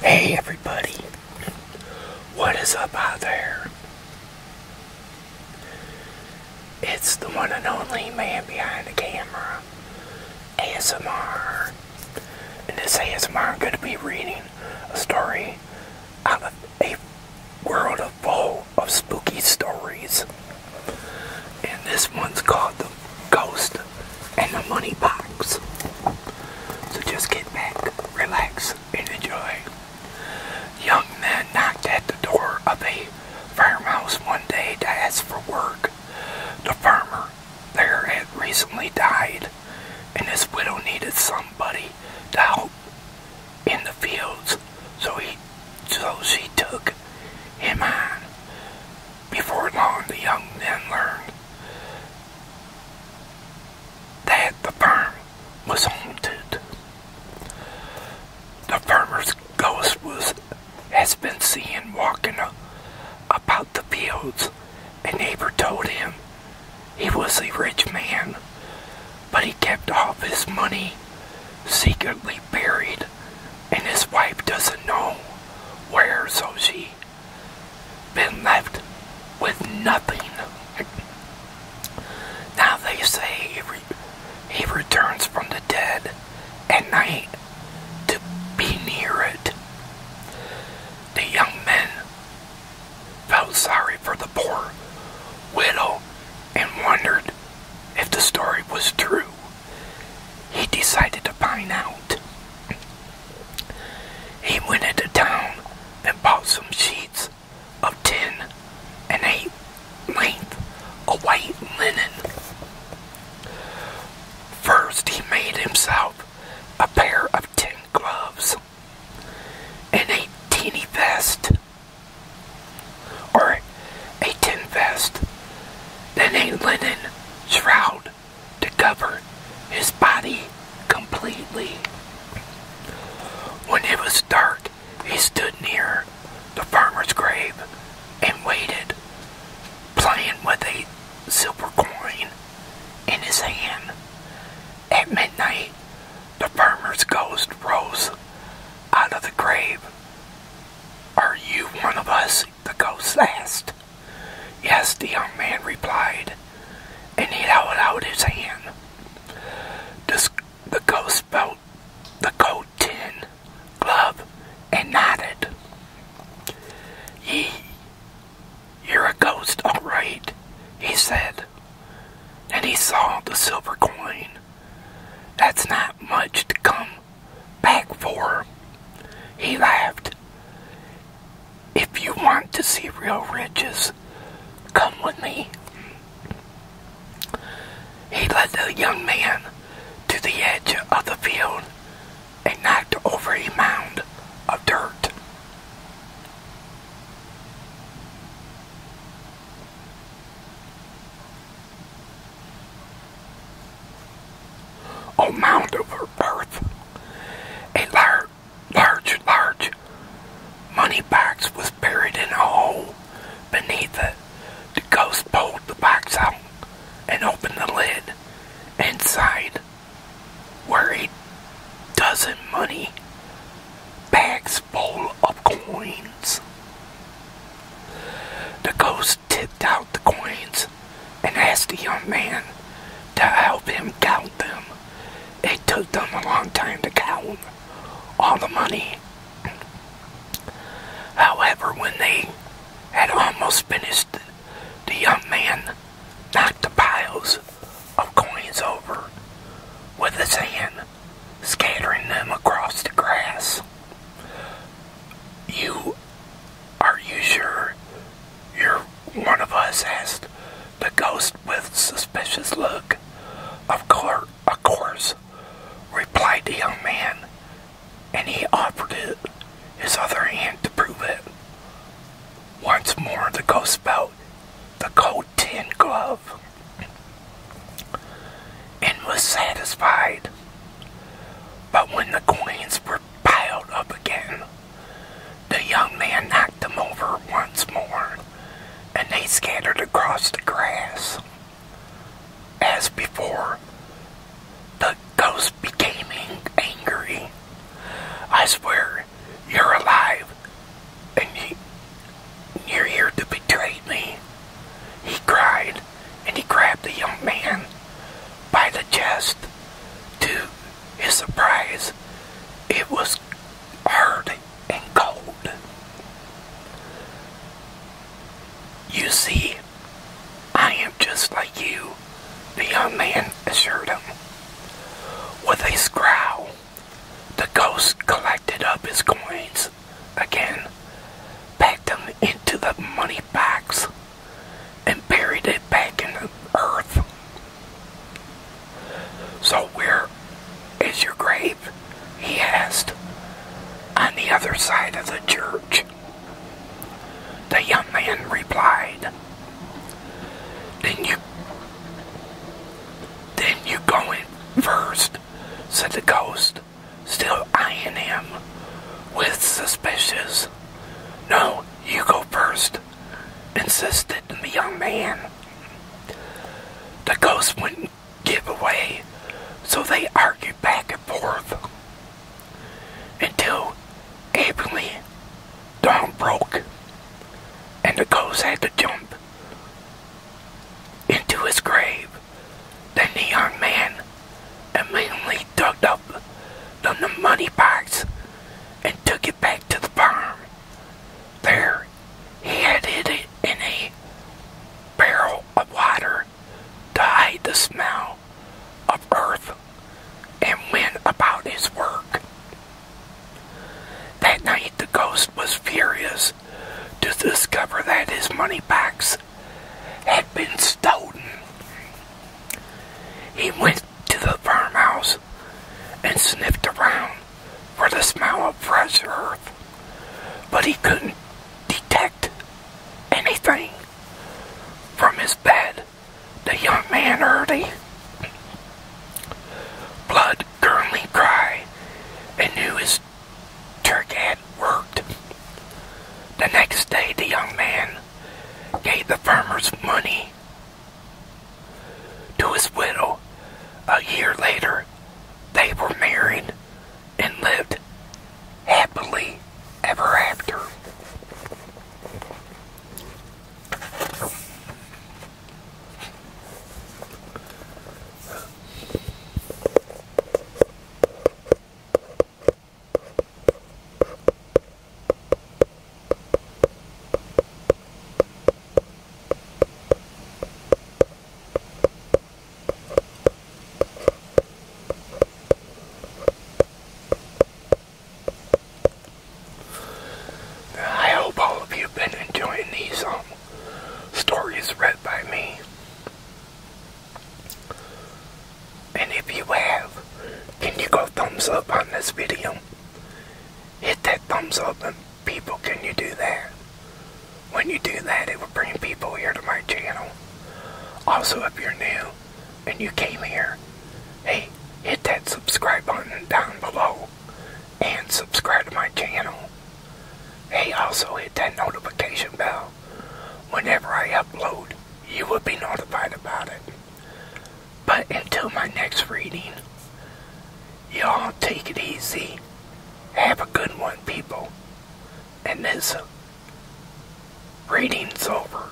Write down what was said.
Hey everybody, what is up out there? It's the one and only man behind the camera, ASMR. In this ASMR, is going to be reading a story out of a world full of spooky stories. And this one's called The ghost, and the money box. So just get back, relax, and enjoy. Young man knocked at the door of a farmhouse one day to ask for work. The farmer there had recently died, and his widow needed somebody to help in the fields, so he so she took him on. Before long, the young men learned that the farm was haunted. The farmer's ghost was, has been seen walking about the fields. and neighbor told him he was a rich man, but he kept all his money secretly buried and his wife doesn't know where, so she been left with nothing. now they say he returns from the dead at night to be near it. The young men felt sorry for the poor widow and wondered if the story was true he decided to find out. He went into town and bought some sheets of tin and eight length of white linen. First, he made himself a pair of tin gloves and a teeny vest, or a tin vest, then a linen shroud to cover his body completely. When it was dark, he stood near the farmer's grave and waited, playing with a silver coin in his hand. At midnight, the farmer's ghost rose out of the grave. Are you one of us? the ghost last? Yes, the young man replied, and he held out his hand. The, the ghost felt the coat tin glove and nodded. Ye, you're a ghost, all right, he said. And he saw the silver coin. That's not much to come back for. him. He laughed. If you want to see real riches, come with me. He led the young man to the edge of the field and knocked over a mound of dirt. O Mount of Earth, a large, large, large money box was buried in a hole beneath it. The ghost pulled the box out and opened the lid. Inside were a dozen money bags full of coins. The ghost tipped out the coins and asked the young man to help him count them. It took them a long time to count all the money. However, when they had almost finished, the young man knocked the piles of coins over with his hand, scattering them across the grass. You are you sure you're one of us? asked the ghost with suspicious look. Of course, replied the young man, and he offered his other hand to prove it. Once more, the ghost felt the cold tin glove and was satisfied. But when the coins were piled up again, the young man knocked them over once more, and they scattered across the grass. As before, the ghost became angry. I swear, you're alive, and you, are here to betray me he cried, and he grabbed the young man by the chest. To his surprise, it was hard and cold. You see, I am just like you, the young man assured him. With a scowl, the ghost collapsed collected up his coins again, packed them into the money box, and buried it back in the earth. So, where is your grave? He asked. On the other side of the church. The young man replied, Then you then you go in first, said the ghost still eyeing him with suspicious. No, you go first, insisted the young man. The ghost wouldn't give away, so they argued back and forth until evenly dawn broke and the ghost had to jump into his grave. Then the young man immediately dug up the money box and took it back to the farm. There, he hid it in a barrel of water to hide the smell of earth and went about his work. That night, the ghost was furious to discover that his money box had been stolen. He went to the farmhouse and sniffed around for the smell of fresh earth, but he couldn't detect anything. From his bed, the young man heard the blood curdling cry and knew his trick worked. The next day, the young man gave the farmer's money to his widow. A year later, they were married and lived happily ever after. I hope all of you have been enjoying these um, Story is read by me. And if you have, can you go thumbs up on this video? Hit that thumbs up and people, can you do that? When you do that, it will bring people here to my channel. Also, if you're new and you came here, hey, hit that subscribe button down below and subscribe to my channel. Hey, also hit that notification bell. Whenever I upload, you will be notified about it. But until my next reading, y'all take it easy. Have a good one, people. And this reading's over.